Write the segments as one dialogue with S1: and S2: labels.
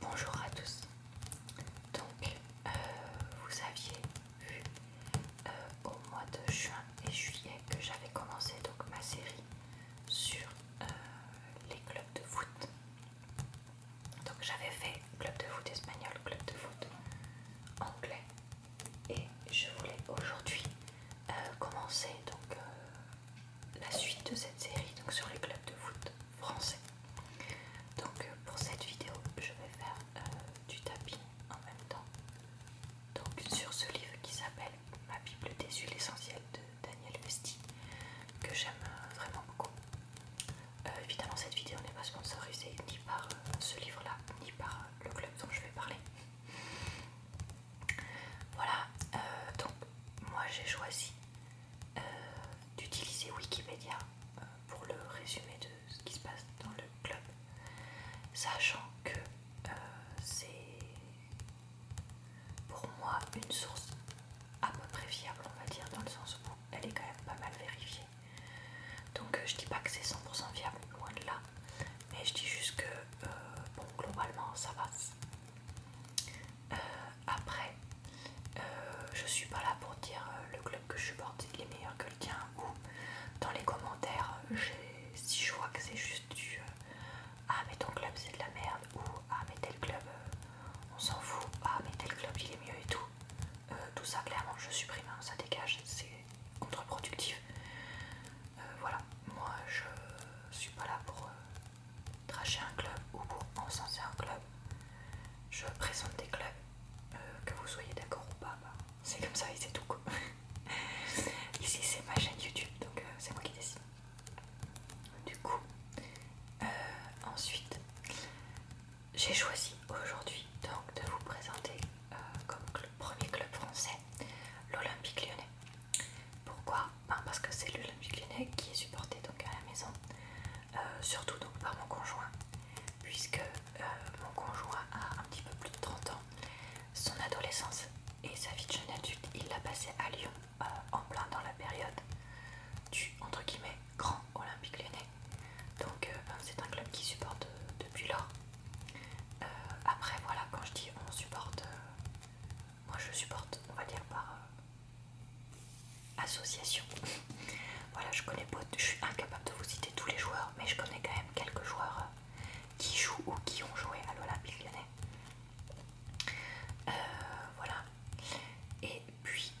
S1: Bonjour à tous. Donc, euh, vous aviez vu euh, au mois de juin et juillet que j'avais commencé donc ma série sur euh, les clubs de foot. Donc, j'avais fait club de foot espagnol, club de foot anglais, et je voulais aujourd'hui commencer donc la suite de cette série donc sur les clubs de foot français. Donc euh, pour cette vidéo, je vais faire euh, du tapis en même temps. Donc sur ce livre qui s'appelle Ma Bible des huiles essentielles de Daniel Vesti, que j'aime euh, vraiment beaucoup. évidemment, cette vidéo n'est pas sponsorisée ni par ce livre-là, ni par le club dont je vais parler. Voilà, donc moi j'ai choisi euh, d'utiliser Wikipédia euh, pour le résumé de ce qui se passe dans le club, sachant que euh, c'est pour moi une source à peu près fiable, on va dire, dans le sens où elle est quand même pas mal vérifiée. Donc je dis pas que c'est 100% fiable, loin de là, mais je dis juste que globalement ça va, euh, après, euh, je suis pas là pour dire euh, le club que je supporte il est meilleur que le tien ou dans les commentaires, si je vois que c'est juste du ah mais ton club c'est de la merde ou ah mais tel club on s'en fout, ah mais tel club il est mieux et tout. tout ça clairement je supprime, hein, ça dégage, c'est contre-productif. voilà, moi je suis pas là pour tracher un club ou pour encenser un club. Je présente des clubs, euh, que vous soyez d'accord ou pas, bah, c'est comme ça et c'est tout. Ici c'est ma chaîne YouTube, donc euh, c'est moi qui décide. Du coup, euh, ensuite, j'ai choisi aujourd'hui donc de vous présenter comme premier club français l'Olympique lyonnais. Pourquoi parce que c'est l'Olympique Lyonnais qui est supporté donc à la maison, euh, surtout donc par mon conjoint, puisque euh, mon conjoint a un petit peu plus de 30 ans. Son adolescence et sa vie de jeune adulte, il l'a passé à Lyon, euh, en plein dans la période du entre guillemets grand Olympique Lyonnais. Donc ben, c'est un club qui supporte depuis lors. après voilà, quand je dis on supporte, moi je supporte, on va dire par euh, association. voilà, je connais pas, je suis incapable de vous citer tous les joueurs, mais je connais quand même quelques joueurs euh, qui jouent ou qui ont joué à Lola euh, voilà. Et puis,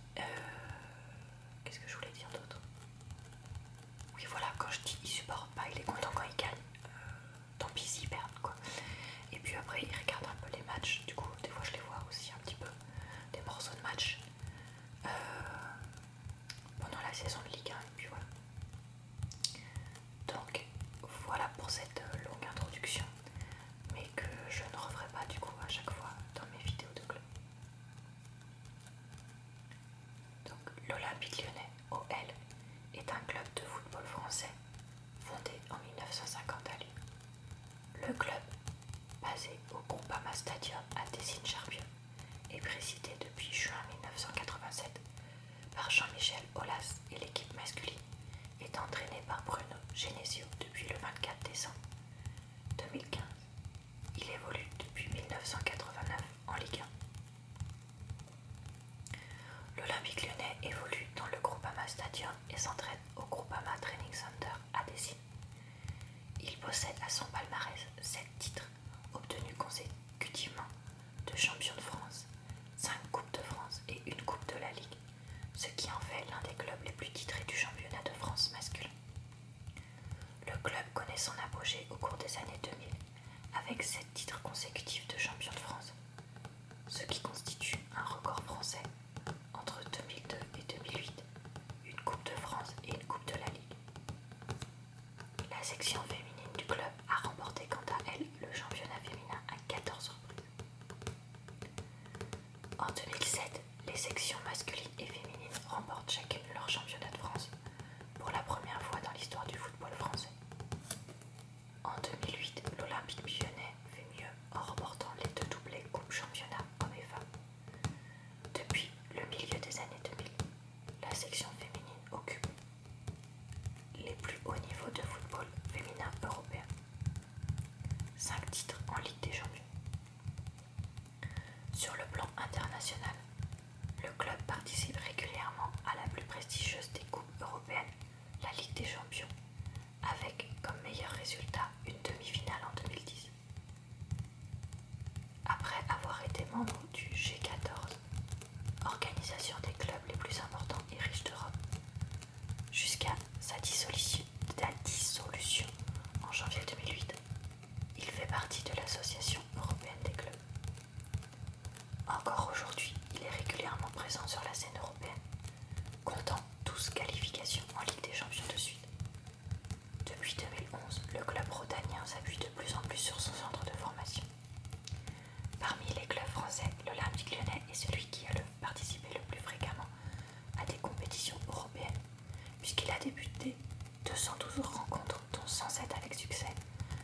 S1: qu'est-ce que je voulais dire d'autre Oui, voilà, quand je dis il supporte pas, il est content quand il gagne. tant pis s'il perd, quoi. Et puis après, il regarde un peu les matchs. Du coup, des fois, je les vois aussi un petit peu, des morceaux de match euh, pendant la saison de Ligue 1. Et puis voilà. Donc, voilà pour cette euh, longue introduction, mais que je ne referai pas du coup à chaque fois dans mes vidéos de club. Donc, l'Olympique lyonnais, OL, est un club de football français Fondé en 1950 à Lyon, le club, basé au Groupama Stadium à tessine charpion est présidé depuis juin 1987 par Jean-Michel Olas et l'équipe masculine est entraînée par Bruno Genesio depuis le 24 décembre 2015. Il évolue depuis 1989 en Ligue 1. L'Olympique lyonnais évolue dans le Groupama Stadium et s'entraîne au Groupama Training Center à Dessine. Il possède à son palmarès 7 titres obtenus consécutivement de champion de France, 5 Coupes de France et une Coupe de la Ligue, ce qui en fait l'un des clubs les plus titrés du championnat de France masculin. Le club connaît son apogée au cours des années 2000 avec 7 titres consécutifs de champion de France, ce qui constitue un record français entre 2002 et 2008, une Coupe de France et une Coupe de la Ligue. La section féminine du club a remporté quant à elle le championnat féminin à 14 reprises. En 2007, les sections masculines et féminines remportent chacune leur championnat de France pour la première fois dans l'histoire du football français. En 2008, l'Olympique Lyonnais fait mieux en remportant les deux doublés Coupe Championnat hommes et femmes. Depuis le milieu des années 2000, la section féminine occupe les plus hauts niveaux de football féminin européen. 5 titres en Ligue des Champions. Sur le plan international, le club participe régulièrement à la plus prestigieuse des coupes européennes la Ligue des Champions, avec comme meilleur résultat une demi-finale en 2010. Après avoir été membre du G14, organisation des clubs les plus importants et riches d'Europe, jusqu'à sa dissolution, en janvier 2008, il fait partie de l'Association européenne des clubs. Encore aujourd'hui, il est régulièrement présent sur la scène européenne comptant 12 qualifications en Ligue des Champions de suite. Depuis 2011, le club rotanien s'appuie de plus en plus sur son centre de formation. Parmi les clubs français, l'Olympique lyonnais est celui qui a participé le plus fréquemment à des compétitions européennes, puisqu'il a débuté 212 rencontres, dont 107 avec succès,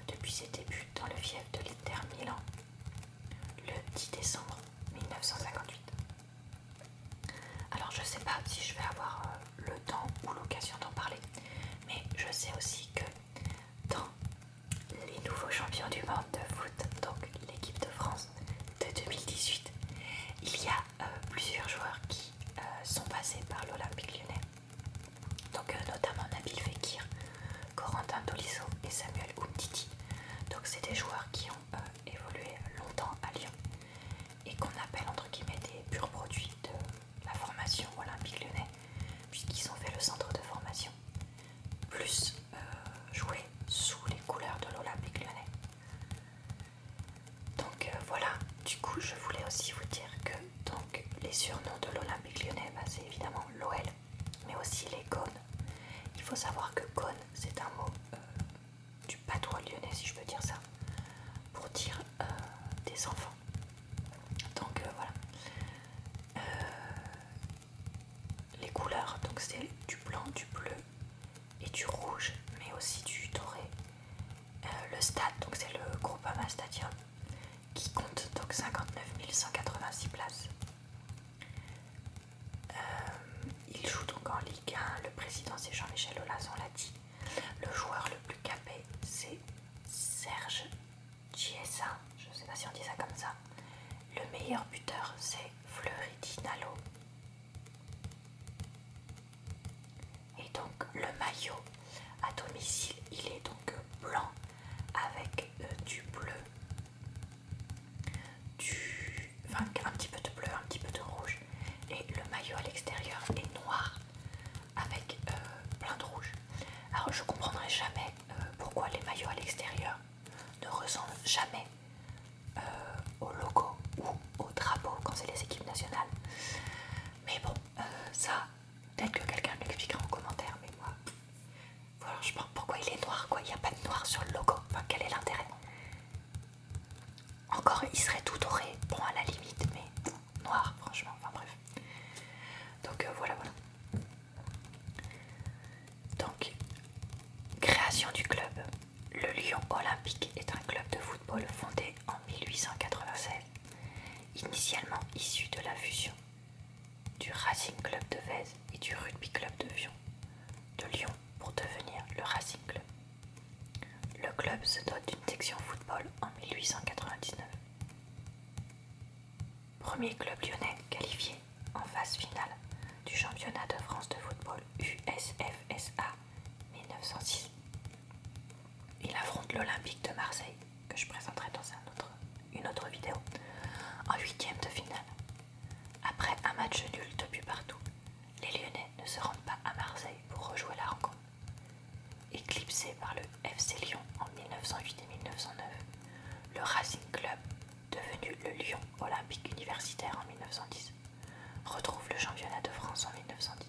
S1: depuis ses débuts dans le fief de l'Inter Milan le 10 décembre 1958. Alors je sais pas si je vais avoir euh, le temps ou l'occasion d'en parler, mais je sais aussi que dans les nouveaux champions du monde de foot, donc l'équipe de France de 2018, il y a euh, plusieurs joueurs qui euh, sont passés par l'Olympique lyonnais. Donc notamment Nabil Fekir, Corentin Tolisso et Samuel Umtiti. Donc c'est des joueurs qui ont euh, évolué longtemps à Lyon et qu'on appelle entre guillemets des purs produits de la formation olympique lyonnais puisqu'ils ont fait le centre de formation plus euh, joué sous les couleurs de l'Olympique lyonnais. Donc euh, voilà, du coup je voulais aussi vous dire que donc, les surnoms de l'Olympique lyonnais, bah, c'est évidemment l'OL mais aussi les cônes. Il faut savoir que cône, c'est un mot euh, du patois lyonnais, si je peux dire ça, pour dire euh, des enfants. Donc euh, voilà. les couleurs, donc c'est du blanc, du bleu et du rouge, mais aussi du doré. le stade, donc c'est le Groupama Stadium, qui compte donc 59 186 places. Euh, il joue donc en Ligue 1. Le président, c'est Jean-Michel Aulas, on l'a dit. Le joueur le plus capé, c'est Serge Giesa. Je ne sais pas si on dit ça comme ça. Le meilleur buteur, c'est Fleury Et donc, le maillot à domicile, il est donc blanc avec euh, du bleu un petit peu de bleu, un petit peu de rouge, et le maillot à l'extérieur est noir avec euh, plein de rouge. Alors je comprendrai jamais euh, pourquoi les maillots à l'extérieur ne ressemblent jamais aux euh, au logo ou au drapeau quand c'est les équipes nationales. Mais bon, ça, peut-être que quelqu'un m'expliquera en commentaire, mais moi, voilà je pense pourquoi il est noir quoi, il n'y a pas de noir sur le logo, quel est l'intérêt Encore il serait tout doré, bon à la limite, mais noir franchement, enfin bref. Donc euh, voilà voilà. Donc création du club. Le Lyon Olympique est un club de football fondé en 1896, initialement issu de la fusion du Racing Club de Vèze et du Rugby Club de Lyon pour devenir le Racing Club. Le club se dote d'une section football en 1899. Premier club lyonnais qualifié en phase finale du championnat de France de football USFSA 1906. Il affronte l'Olympique de Marseille, que je présenterai dans une autre vidéo, en huitième de finale. Après un match nul de partout, les Lyonnais ne se rendent pas à Marseille pour rejouer la rencontre. Éclipsé par le FC Lyon en 1908 et 1909, le Racing Club, devenu le Lyon Olympique Universitaire en 1910, retrouve le championnat de France en 1910.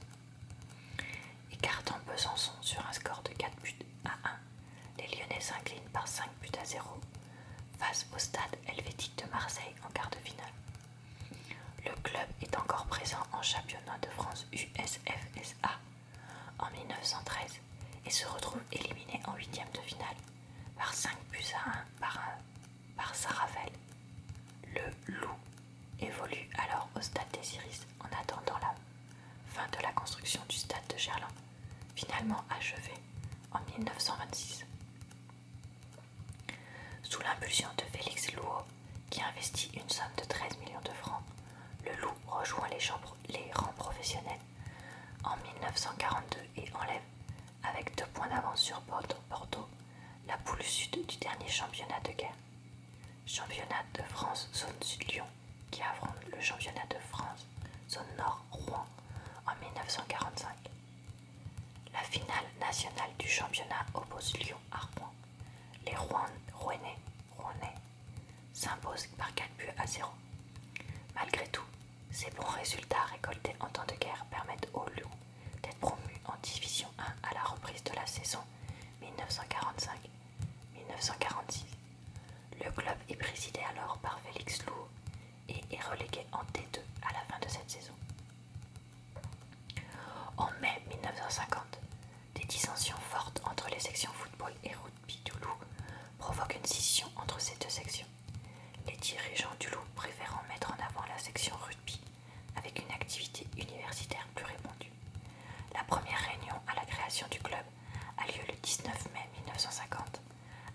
S1: Écartant Besançon sur un score de 4 buts à 1 les Lyonnais s'inclinent par 5 buts à 0 face au stade helvétique de Marseille en quart de finale. Le club est encore présent en championnat de France USFSA en 1913 et se retrouve éliminé en huitième de finale par 5 buts à 1 par, un, par Le loup évolue alors au stade des Iris en attendant la fin de la construction du stade de Gerland finalement achevé en 1926. Sous l'impulsion de Félix Louot, qui investit une somme de 13 millions de francs, le loup rejoint les, les rangs professionnels en 1942 et enlève, avec deux points d'avance sur Bordeaux, la poule sud du dernier championnat de guerre. Championnat de France Zone Sud-Lyon qui affronte le championnat de France, zone Nord-Rouen, en 1945. La finale nationale du championnat oppose Lyon à Rouen. Les Rouennais, s'imposent par 4 buts à 0. Malgré tout, ces bons résultats récoltés en temps de guerre permettent au Lyon d'être promu en Division 1 à la reprise de la saison 1945-1946. Le club est présidé alors par Félix Lou et est relégué en t 2 à la fin de cette saison. En mai 1950, des dissensions fortes entre les sections football et rugby du Loup provoquent une scission entre ces deux sections, les dirigeants du Loup préférant mettre en avant la section rugby avec une activité universitaire plus répandue. La première réunion à la création du club a lieu le 19 mai 1950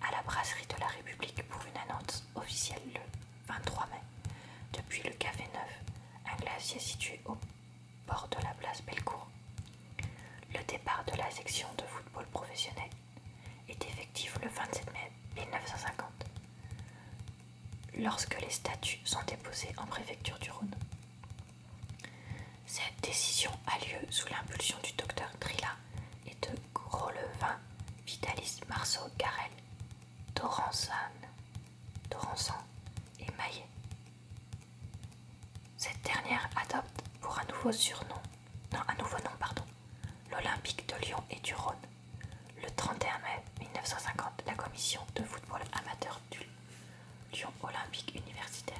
S1: à la brasserie de la République pour une annonce officielle le 23 mai. Depuis le Café Neuf, un glacier situé au bord de la place Bellecour. Le départ de la section de football professionnel est effectif le 27 mai 1950, lorsque les statuts sont déposés en préfecture du Rhône. Cette décision a lieu sous l'impulsion du docteur Grilla et de Gros-Levin, Vitalis Marceau Garel, Doransan et Maillet. Cette dernière adopte pour un nouveau surnom, non, un nouveau nom, pardon, l'Olympique de Lyon et du Rhône. Le 31 mai 1950, la commission de football amateur du Lyon Olympique Universitaire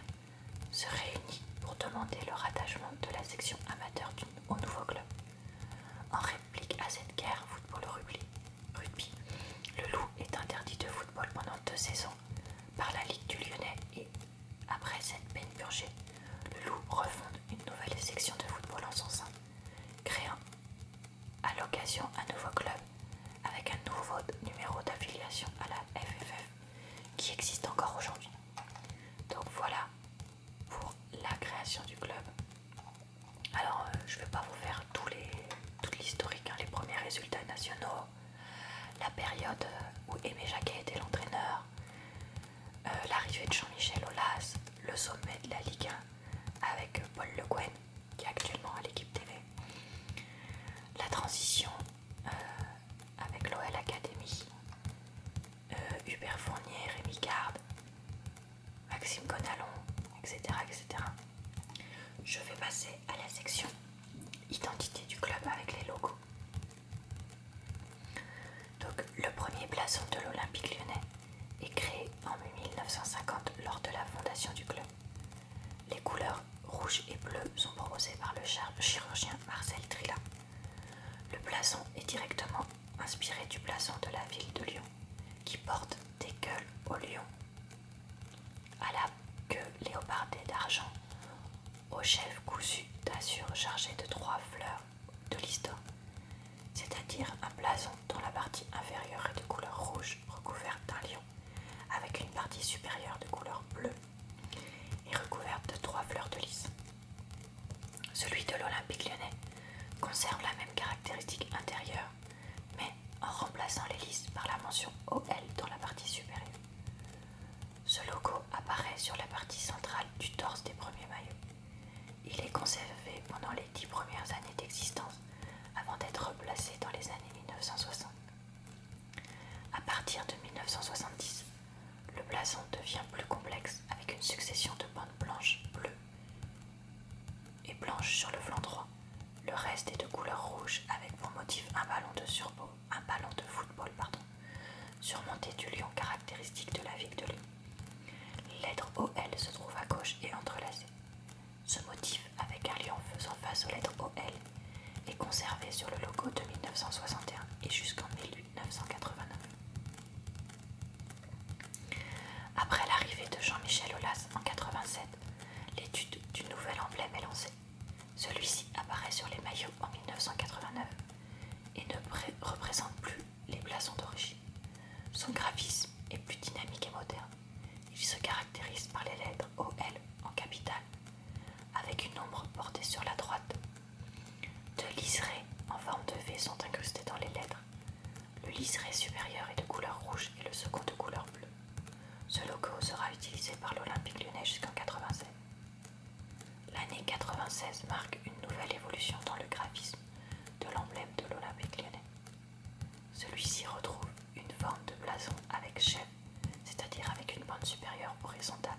S1: se réunit pour demander le rattachement de la section amateur au nouveau club. En réplique à cette guerre football-rugby, le loup est interdit de football pendant deux saisons par la Ligue du Lyonnais et, après cette peine purgée, le loup refonde une nouvelle section de football en son sein, créant à l'occasion un nouveau club avec un nouveau numéro d'affiliation à la FFF qui existe encore aujourd'hui. Donc voilà pour la création du club. Alors euh, je ne vais pas vous faire toute l'historique, hein, les premiers résultats nationaux, la période euh, où Aimé Jacquet était l'entraîneur, euh, l'arrivée de Jean-Michel Aulas, le sommet de la Ligue 1 avec Paul Le Guen qui est actuellement à l'équipe TV, la transition avec l'OL Academy, euh, Hubert Fournier, Rémi Garde, Maxime Conalon, etc., etc. Je vais passer à la section identité du club avec les logos. Donc, le premier blason de l'Olympique lyonnais est créé en 1950 lors de la fondation du club. Les couleurs rouge et bleu sont proposés par le chirurgien Marcel Trilla. Le blason est directement inspiré du blason de la ville de Lyon, qui porte des gueules au lion, à la queue léopardée d'argent, au chef cousu d'azur chargé de trois fleurs de l'histoire, c'est-à-dire un blason dont la partie inférieure est de couleur rouge recouverte d'un lion, avec une partie supérieure de couleur bleue et recouverte de trois fleurs de lys. Celui de l'Olympique lyonnais conserve la même caractéristique intérieure, mais en remplaçant les lys par la mention OL dans la partie supérieure. Ce logo apparaît sur la partie centrale du torse des premiers maillots. Il est conservé pendant les dix premières années d'existence avant d'être replacé dans les années 1960. À partir de 1970, le blason devient plus complexe avec une succession de bandes blanches bleues et blanches sur le flanc droit. Le reste est de couleur rouge avec pour motif un ballon de un ballon de football surmonté du lion caractéristique de la ville de Lyon. L'être OL se trouve à gauche et entrelacé. Ce motif avec un lion faisant face aux lettres OL est conservé sur le logo de 1961 et jusqu'en 1989. Après l'arrivée de Jean-Michel Aulas en 1987, l'étude du nouvel emblème est lancée. Celui-ci apparaît sur les maillots en 1989 et ne représente plus les blasons d'origine. Son graphisme est plus dynamique et moderne. Il se caractérise par les lettres OL en capitale avec une ombre portée sur la droite. Deux liserés en forme de V sont incrustés dans les lettres. Le liseré supérieur est de couleur rouge et le second de couleur bleue. Ce logo sera utilisé par l'Olympique lyonnais jusqu'en 1996. L'année 96 marque une nouvelle évolution dans le graphisme de l'emblème de l'Olympique lyonnais. Celui-ci retrouve une forme de blason avec chef c'est-à-dire avec une bande supérieure horizontale.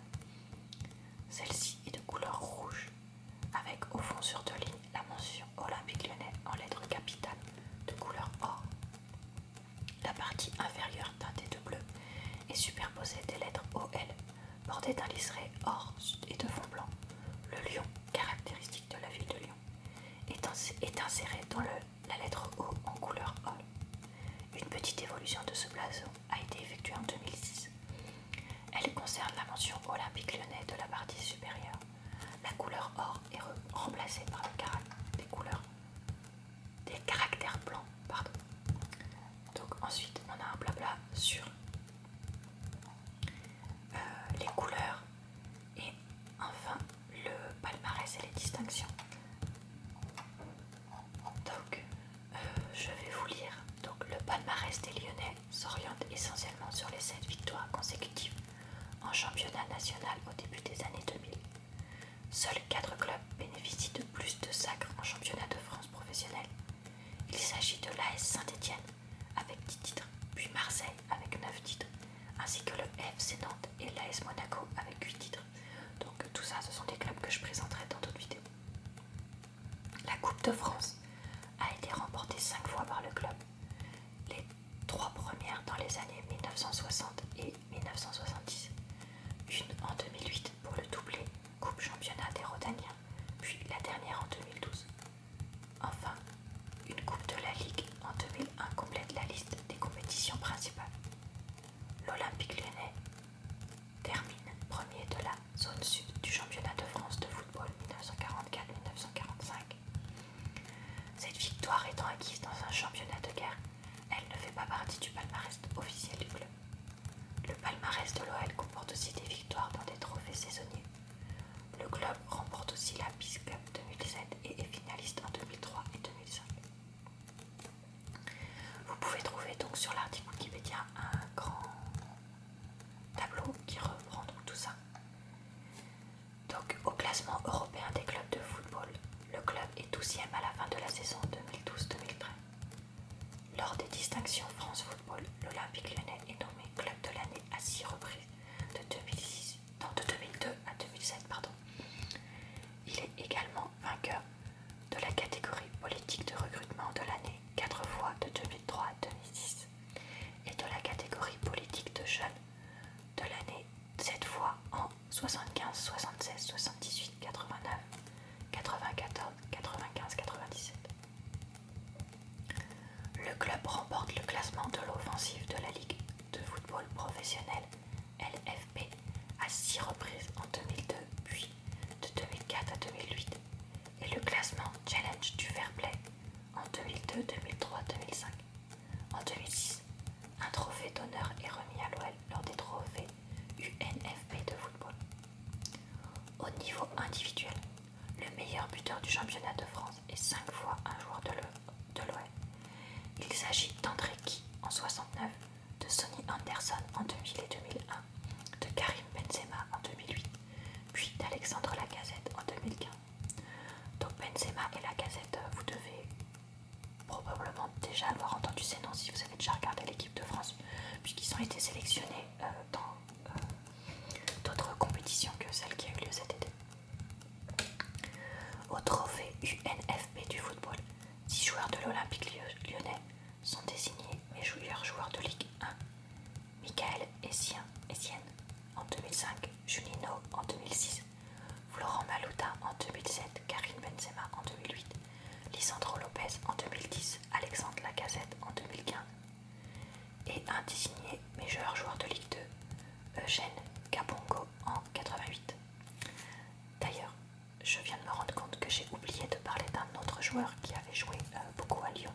S1: Celle-ci est de couleur rouge, avec au fond sur deux lignes la mention Olympique lyonnais en lettres capitales de couleur or. La partie inférieure teintée de bleu est superposée des lettres OL, bordées d'un liseré or et de fond blanc. Le lion, caractéristique de la ville de Lyon, est inséré dans le la lettre O en couleur or. Une petite évolution de ce blason a été effectuée en 2006. Elle concerne la mention olympique lyonnais de la partie supérieure. La couleur or est remplacée par le caractère des couleurs des caractères blancs. Pardon. Donc ensuite on a un blabla sur euh, les couleurs et enfin le palmarès et les distinctions. Donc, euh, je vais vous lire. Donc, le palmarès des Lyonnais s'oriente essentiellement sur les 7 victoires consécutives en championnat national au début des années 2000. Seuls 4 clubs bénéficient de plus de sacres en championnat de France professionnel. Il s'agit de l'AS Saint-Étienne avec 10 titres, puis Marseille avec 9 titres, ainsi que le FC Nantes et l'AS Monaco avec 8 titres. Donc tout ça, ce sont des clubs que je présenterai dans d'autres vidéos. La Coupe de France a été remportée 5 fois par le club. Les trois premières dans les années 1960 et 1970. Une en 2008 pour le doublé Coupe Championnat des Rotaniens, puis la dernière en 2012. Enfin, une Coupe de la Ligue en 2001 complète la liste des compétitions principales. L'Olympique lyonnais termine premier de la zone sud du championnat de France de football 1944-1945. Cette victoire étant acquise dans un championnat de guerre, elle ne fait pas partie du palmarès officiel du club. Le palmarès de l'OL comporte aussi des victoires dans des trophées saisonniers. Le club remporte aussi la Peace Cup 2007 et est finaliste en 2003 et 2005. Vous pouvez trouver donc sur l'article Wikipédia un grand tableau qui reprend tout ça. Donc au classement européen des clubs de football, le club est 12e à la fin de la saison 2012-2013. Lors des distinctions France Football, l'Olympique lyonnais est nommé club de l'année à 6 reprises de de 2002 à 2007. Il est également vainqueur de la catégorie politique de recrutement de l'année 4 fois de 2003 à 2006 et de la catégorie politique de jeunes de l'année 7 fois en 75, 76, 78, 89, 94, 95, 97. Le club remporte le classement de l'offensive de la Ligue de football professionnel LFP à 6 reprises en 2002 puis de 2004 à 2008 et le classement Challenge du Fair Play en 2002, 2003, 2005. En 2006, un trophée d'honneur est remis à l'OL lors des trophées UNFP de football. Au niveau individuel, le meilleur buteur du championnat de France est 5 fois un joueur de l'OL. Il s'agit d'André Ki en 69 de Sonny Anderson en 2000 et 2001, de Karim Benzema en 2008, puis d'Alexandre Lacazette en 2015. Donc Benzema et Lacazette, euh, vous devez probablement déjà avoir entendu ces noms si vous avez déjà regardé l'équipe de France, puisqu'ils ont été sélectionnés euh, dans euh, d'autres compétitions que celle qui a eu lieu cet été. Au trophée UNFP du football, Six joueurs de l'Olympique lyonnais sont désignés mes joueurs de Ligue 1. Michael Essien, en 2005, Junino en 2006, Florent Maluta en 2007, Karine Benzema en 2008, Lisandro Lopez en 2010, Alexandre Lacazette en 2015 et un désigné meilleur joueur de Ligue 2, Eugène Capongo en 88. D'ailleurs, je viens de me rendre compte que j'ai oublié de parler d'un autre joueur qui avait joué euh, beaucoup à Lyon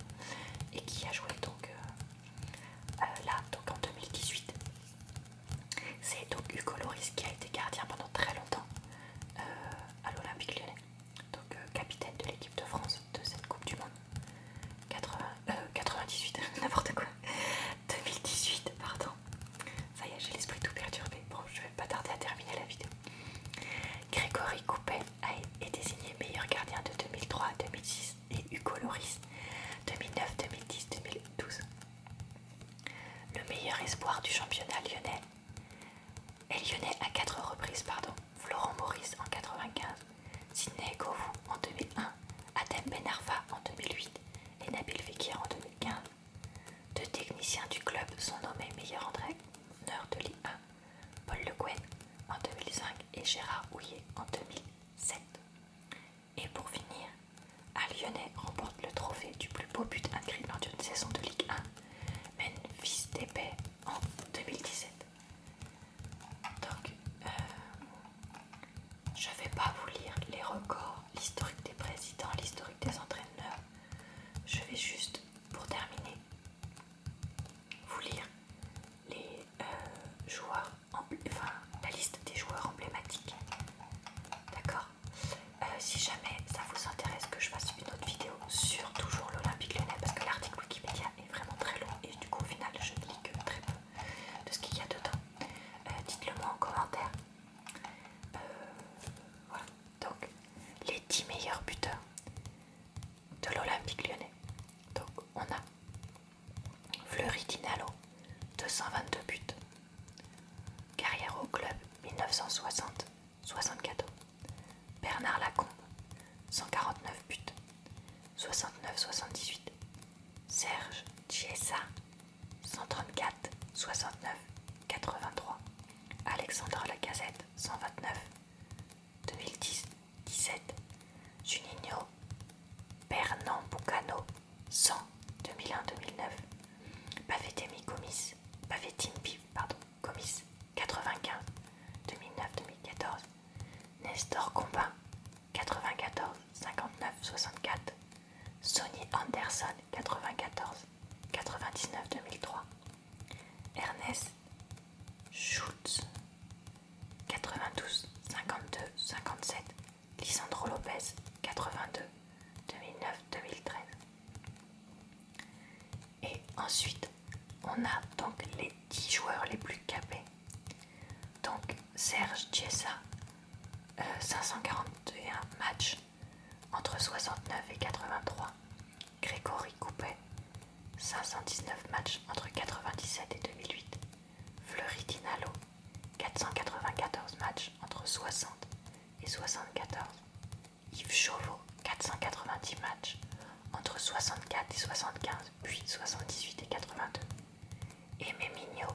S1: et qui a joué donc euh, euh, là donc en 2018. C'est donc Hugo Loris qui a été gardien pendant très longtemps à l'Olympique lyonnais, donc capitaine de l'équipe de France de cette Coupe du Monde 98, n'importe quoi, 2018, pardon. Ça y est, j'ai l'esprit tout perturbé. Bon, je vais pas tarder à terminer la vidéo. Grégory Coupet est désigné meilleur gardien de 2003 2006 et Hugo Loris 2009, 2010, 2012. Le meilleur espoir du championnat lyonnais est lyonnais à 4 reprises, pardon. Florent Maurice en 95, Sidney Govou en 2001, Adem Benarfa en 2008 et Nabil Fekir en 2015. Deux techniciens du club sont nommés meilleurs entraîneurs de Ligue 1, Paul Le Guen en 2005 et Gérard Houillet en 2007. Et pour finir, un remporte le trophée du plus beau but inscrit lors d'une saison de Ligue 1, fils d'épée en 2017. Donc, euh, je ne vais pas vous lire les records, l'historique des présidents, l'historique des entraîneurs. Je vais juste, pour terminer, vous lire les euh, joueurs, enfin la liste des joueurs emblématiques. D'accord euh, Si jamais ça vous intéresse que je fasse une autre vidéo sur toujours l'Olympique lyonnais, parce que l'article Wikipédia est vraiment très long et du coup au final je ne lis que très peu de ce qu'il y a dedans. Euh, Dites-le moi en commentaire. Euh, donc les 10 meilleurs buteurs de l'Olympique lyonnais. Donc on a Fleury Dinalo, 222 buts. Carrière au club 1960 64. Bernard Lacombe, 149 buts. 69-78. Serge Chiesa, 134 69 83 Alexandre Lacazette 129 2010 17 Juninho Pernambucano 100 2001 2009 Pavetemi Comis pardon Comis 95 2009 2014 Nestor Combin 94 59 64 Sonny Anderson 94, 99, 2003. Ernest Schutz 92, 52, 57. Lisandro Lopez, 82, 2009, 2013. Et ensuite, on a donc les 10 joueurs les plus capés. Donc Serge Tiesa 541 matchs entre 69 et 83. Grégory Coupet, 519 matchs entre 97 et 2008. Fleury Dinalo, 494 matchs entre 60 et 74. Yves Chauveau, 490 matchs entre 64 et 75, puis 78 et 82. Aimé Mignot,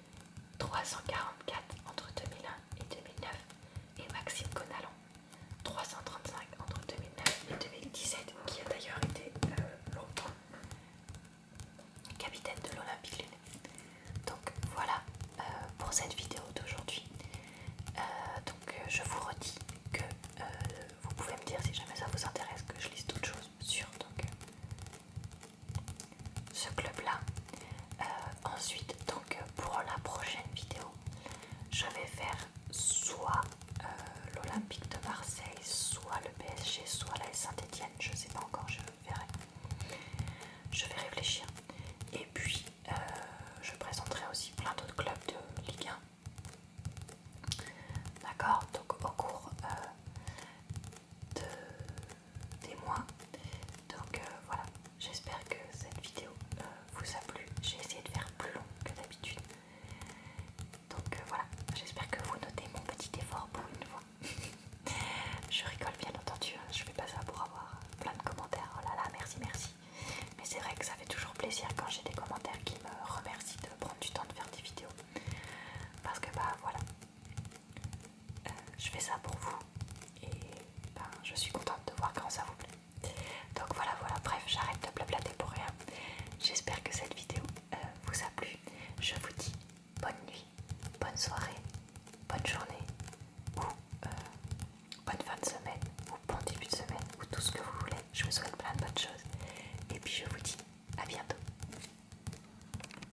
S1: 344 entre 2001 et 2009 et Maxime Conalon 335 entre 2009 et 2017 qui a d'ailleurs été euh, l'autre capitaine de l'Olympique Lyonnais. Donc voilà euh, pour cette vidéo d'aujourd'hui. Euh, donc je vous redis que vous pouvez me dire si jamais ça vous intéresse que je lise d'autres choses sur donc ce club-là. Euh, ensuite, donc pour la prochaine vidéo, je vais faire soit euh, l'Olympique de Marseille, soit le PSG, soit la Saint-Etienne. Je sais pas encore, je verrai. Je vais réfléchir. Et puis, euh, je présenterai aussi plein d'autres clubs de Ligue 1. D'accord Donc, au cours de, des mois. Donc euh, voilà, j'espère que cette vidéo euh, vous a plu. J'ai essayé de faire plus long que d'habitude. Donc euh, voilà, j'espère que vous notez mon petit effort pour une fois. je rigole bien entendu, hein. je fais pas ça pour avoir plein de commentaires. Oh là là, merci, merci. Mais c'est vrai que ça fait toujours plaisir quand j'ai des commentaires qui me remercient de prendre du temps de faire des vidéos. Parce que bah voilà, euh, je fais ça pour vous et ben, je suis contente de voir quand ça vous plaît. Donc voilà, voilà, bref, j'arrête de blablater pour rien. J'espère que cette vidéo euh, vous a plu. Je vous dis bonne nuit, bonne soirée, bonne journée ou euh, bonne fin de semaine ou bon début de semaine ou tout ce que vous voulez. Je vous souhaite plein de bonnes choses et puis je vous dis à bientôt.